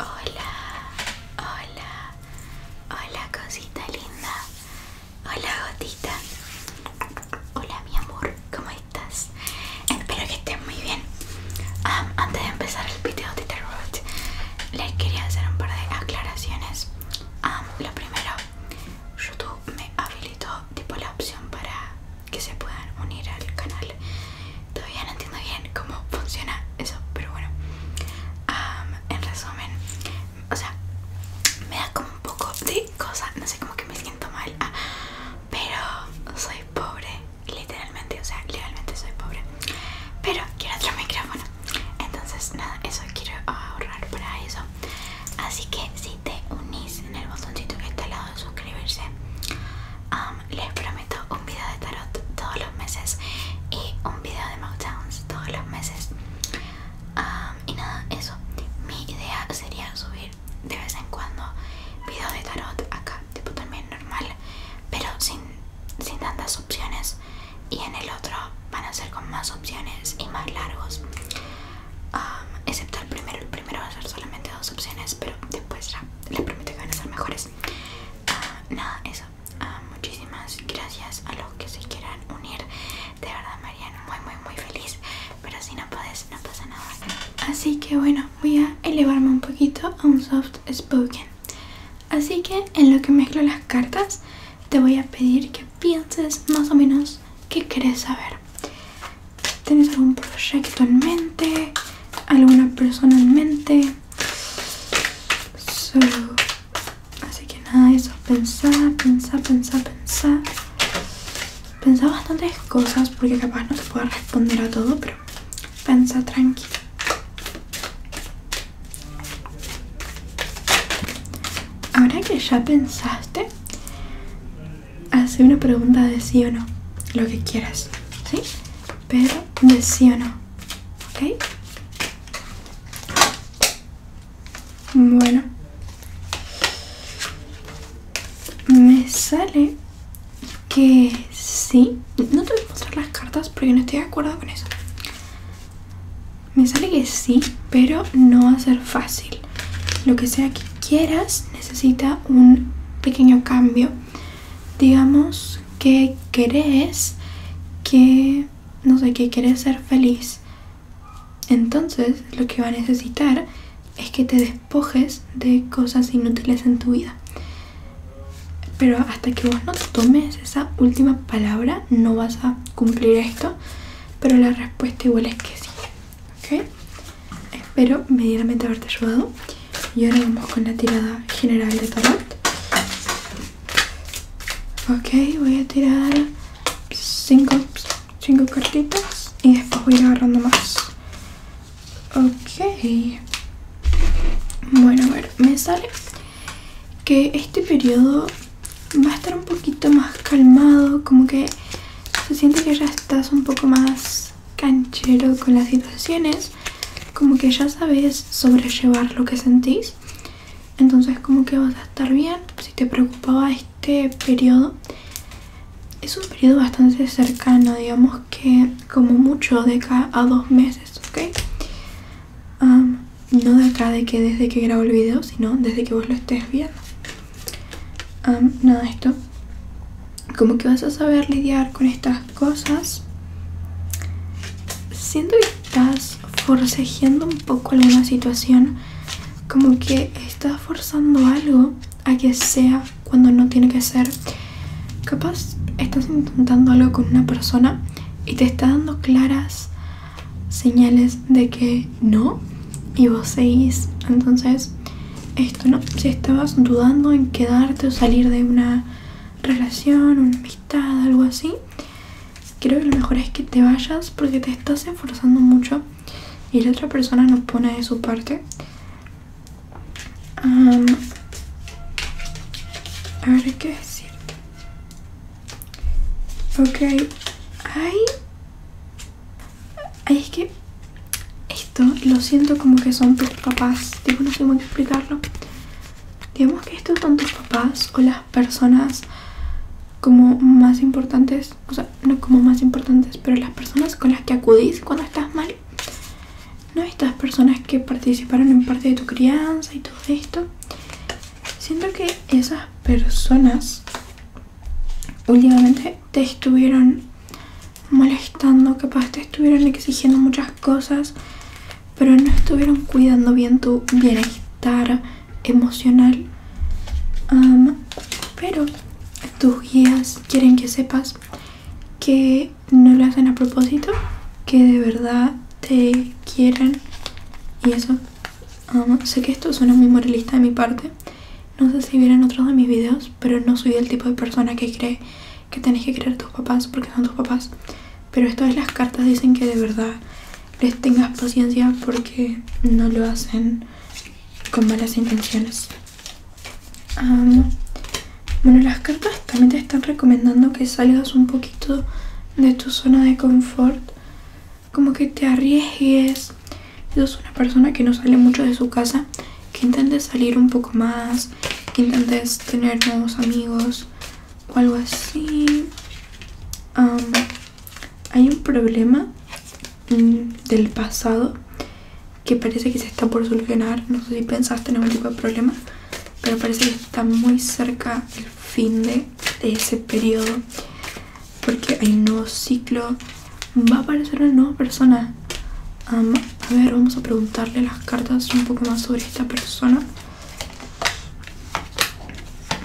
Hola, hola, hola cosita linda, hola gotita, hola mi amor, ¿cómo estás? Espero que estés muy bien. antes de empezar el video de terror, les quería hacer un par de aclaraciones. lo primero, YouTube me habilitó tipo la opción para que se puedan unir al canal todavía no entiendo bien cómo funciona eso, pero bueno. en resumen, o sea, me da como un poco de cosa, no sé, cómo que me siento mal, ah, pero soy pobre, literalmente, o sea, literalmente soy pobre. Pero quiero otro micrófono, entonces nada, eso quiero ahorrar para eso. Así que si te unís en el botoncito que está al lado de suscribirse, les prometo un video de tarot todos los meses y un video de downs todos los meses. y nada, eso. Mi idea sería subir de vez en cuando videos de tarot acá, tipo también normal, pero sin, tantas opciones. Y en el otro van a ser con más opciones y más largos. excepto el primero, el primero va a ser solamente dos opciones, pero después ya les prometo que van a ser mejores. Pues, ah, nada eso ah, muchísimas gracias a los que se quieran unir de verdad Mariana muy muy muy feliz pero si no puedes no pasa nada así que bueno voy a elevarme un poquito a un soft spoken así que en lo que mezclo las cartas te voy a pedir que pienses más o menos qué querés saber ¿tenés algún proyecto en mente? ¿Alguna persona en mente? así que nada, eso, pensar, pensar, pensar, pensar. Pensar bastantes cosas porque capaz no te pueda responder a todo, pero pensá tranquilo. Ahora que ya pensaste, hace una pregunta de sí o no, lo que quieras, ¿sí? Pero de sí o no. ¿Ok? Bueno. Me sale que sí. No te voy a mostrar las cartas porque no estoy de acuerdo con eso. Me sale que sí, pero no va a ser fácil. Lo que sea que quieras necesita un pequeño cambio digamos que crees que, no sé, que querés ser feliz. Entonces lo que va a necesitar es que te despojes de cosas inútiles en tu vida. Pero hasta que vos no tomes esa última palabra, no vas a cumplir esto. Pero la respuesta igual es que sí. Espero medianamente haberte ayudado. Y ahora vamos con la tirada general de tarot. Ok, voy a tirar 5 cinco, cartitas y después voy a agarrando más. Ok. Bueno, me sale que este periodo va a estar un poquito más calmado, como que se siente que ya estás un poco más canchero con las situaciones como que ya sabes sobrellevar lo que sentís entonces como que vas a estar bien si te preocupaba este periodo es un periodo bastante cercano digamos que como mucho de acá a dos meses ok no de acá de que desde que grabo el video sino desde que vos lo estés viendo nada esto como que vas a saber lidiar con estas cosas. Siento que estás forcejeando un poco alguna situación, como que estás forzando algo a que sea cuando no tiene que ser. Capaz estás intentando algo con una persona y te está dando claras señales de que no y vos seguís. Entonces, esto no, si estabas dudando en quedarte o salir de una relación, una amistad, algo así, creo que lo mejor es que te vayas porque te estás esforzando mucho y la otra persona no pone de su parte. a ver qué decir. Ok, ay. Ay, es que esto lo siento como que son tus papás. Digo no sé cómo explicarlo digamos que estos son tus papás o las personas como más importantes, o sea, no como más importantes, pero las personas con las que acudís cuando estás mal. No estas personas que participaron en parte de tu crianza y todo esto. Siento que esas personas últimamente te estuvieron molestando, capaz te estuvieron exigiendo muchas cosas pero no estuvieron cuidando bien tu bienestar emocional. pero tus guías quieren que sepas que no lo hacen a propósito, que de verdad te quieren y eso. sé que esto suena muy moralista de mi parte. No sé si vieron otros de mis videos, pero no soy el tipo de persona que cree que tenés que querer a tus papás porque son tus papás. Pero esto las cartas dicen que de verdad les tengas paciencia porque no lo hacen con malas intenciones. bueno, las cartas también te están recomendando que salgas un poquito de tu zona de confort, como que te arriesgues. Sos una persona que no sale mucho de su casa, que intentes salir un poco más, que intentes tener nuevos amigos, algo así. hay un problema mm, del pasado que parece que se está por solucionar. No sé si pensaste en algún tipo de problema, pero parece que está muy cerca el fin de, ese periodo porque hay un nuevo ciclo. Va a aparecer una nueva persona. a ver, vamos a preguntarle las cartas un poco más sobre esta persona.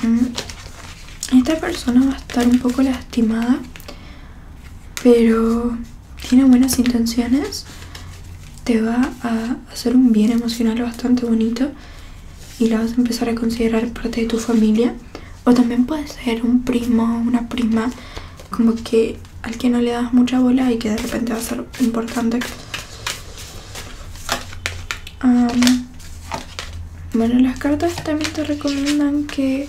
Mm. Esta persona va a estar un poco lastimada, pero tiene buenas intenciones. Te va a hacer un bien emocional bastante bonito y la vas a empezar a considerar parte de tu familia. O también puede ser un primo o una prima, como que al que no le das mucha bola y que de repente va a ser importante bueno, las cartas también te recomiendan que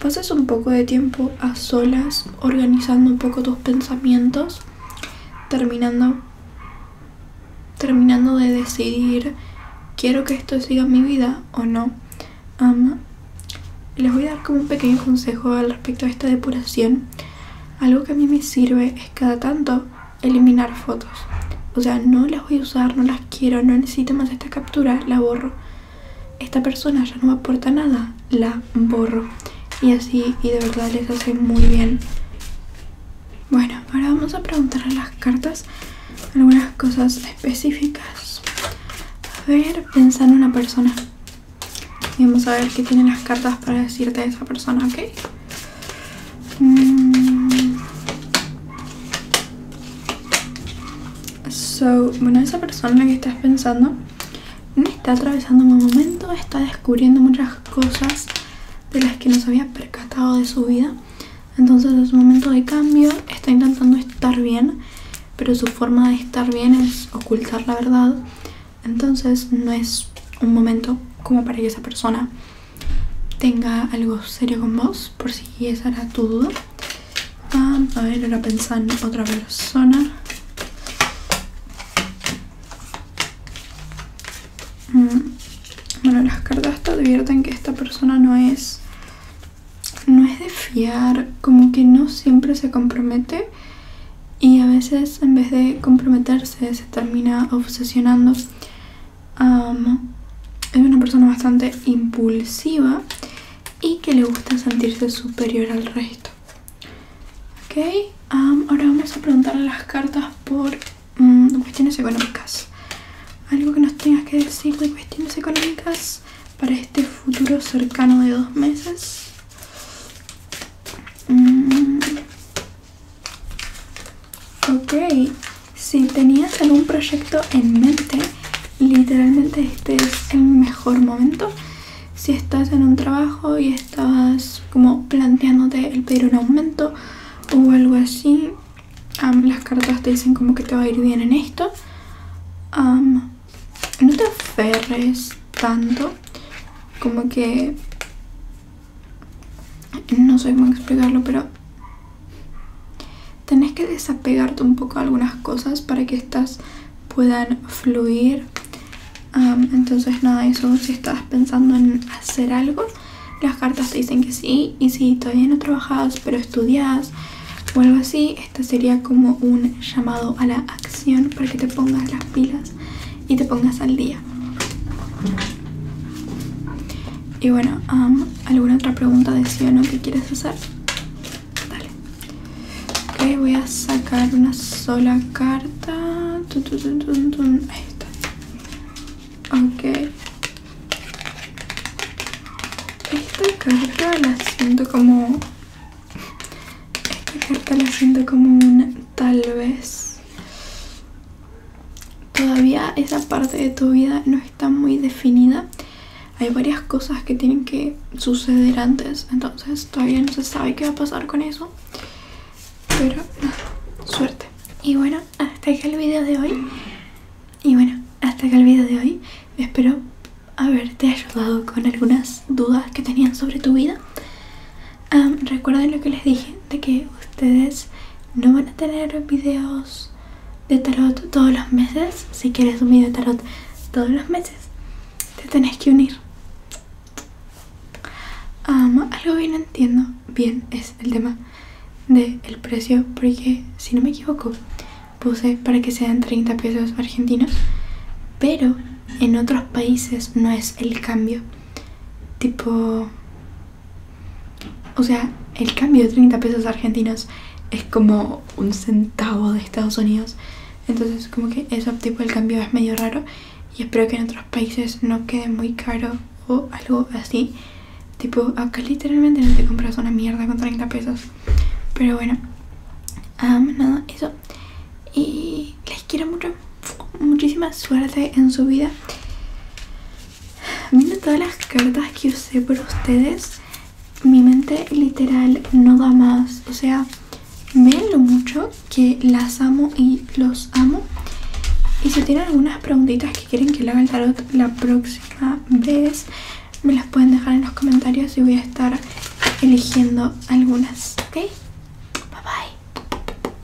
pases un poco de tiempo a solas, organizando un poco tus pensamientos, terminando, de decidir, quiero que esto siga mi vida o no. les voy a dar como un pequeño consejo al respecto de esta depuración. Algo que a mí me sirve es cada tanto eliminar fotos. O sea, no las voy a usar, no las quiero, no necesito más esta captura, la borro. Esta persona ya no me aporta nada, la borro. Y así, y de verdad les hace muy bien. Bueno, ahora vamos a preguntar a las cartas algunas cosas específicas. A ver, pensar en una persona. Y vamos a ver qué tienen las cartas para decirte a esa persona, ¿ok? Mm. bueno, esa persona la que estás pensando está atravesando un momento, está descubriendo muchas cosas de las que no se había percatado de su vida. Entonces es un momento de cambio, está intentando estar bien, pero su forma de estar bien es ocultar la verdad. Entonces no es un momento como para que esa persona tenga algo serio con vos, por si esa era tu duda. Ah, a ver, ahora pensar en otra persona. Mm, bueno, las cartas te advierten que esta persona no es no es de fiar, como que no siempre se compromete y a veces en vez de comprometerse se termina obsesionando. es una persona bastante impulsiva y que le gusta sentirse superior al resto. Ok, ahora vamos a preguntar las cartas por mm, cuestiones económicas. Algo que nos tengas que decir de cuestiones económicas para este futuro cercano de dos meses. Mm. Ok, si tenías algún proyecto en mente, literalmente este es el mejor momento. Si estás en un trabajo y estabas como planteándote el pedir un aumento o algo así, las cartas te dicen como que te va a ir bien en esto. no te aferres tanto, como que no sé cómo explicarlo, pero tenés que desapegarte un poco algunas cosas para que estas puedan fluir. entonces nada, eso si estás pensando en hacer algo, las cartas te dicen que sí. Y si todavía no trabajas, pero estudias o algo así, este sería como un llamado a la acción para que te pongas las pilas y te pongas al día. Y bueno, ¿alguna otra pregunta de sí o no que quieres hacer? Dale. Ok, voy a sacar una sola carta. Ahí Ok. Esta carta la siento como... Esta carta la siento como una tal vez todavía esa parte de tu vida no está muy definida. Hay varias cosas que tienen que suceder antes, entonces todavía no se sabe qué va a pasar con eso. Pero suerte. Y bueno, hasta acá el video de hoy. Y bueno, hasta acá el video de hoy. Espero haberte ayudado con algunas dudas que tenían sobre tu vida recuerden lo que les dije de que ustedes no van a tener videos de tarot todos los meses si quieres un video de tarot todos los meses te tenés que unir um, algo bien entiendo bien es el tema del el precio porque si no me equivoco puse para que sean 30 pesos argentinos pero en otros países no es el cambio Tipo... O sea, el cambio de 30 pesos argentinos es como un centavo de Estados Unidos. Entonces como que eso tipo el cambio es medio raro y espero que en otros países no quede muy caro o algo así. Tipo, acá literalmente no te compras una mierda con 30 pesos. Pero bueno, nada, eso. Y les quiero mucho muchísima suerte en su vida. Viendo todas las cartas que usé por ustedes, mi mente literal no da más. O sea, vean lo mucho que las amo y los amo. Y si tienen algunas preguntitas que quieren que le haga el tarot la próxima vez, me las pueden dejar en los comentarios y voy a estar eligiendo algunas, ¿ok? Bye bye.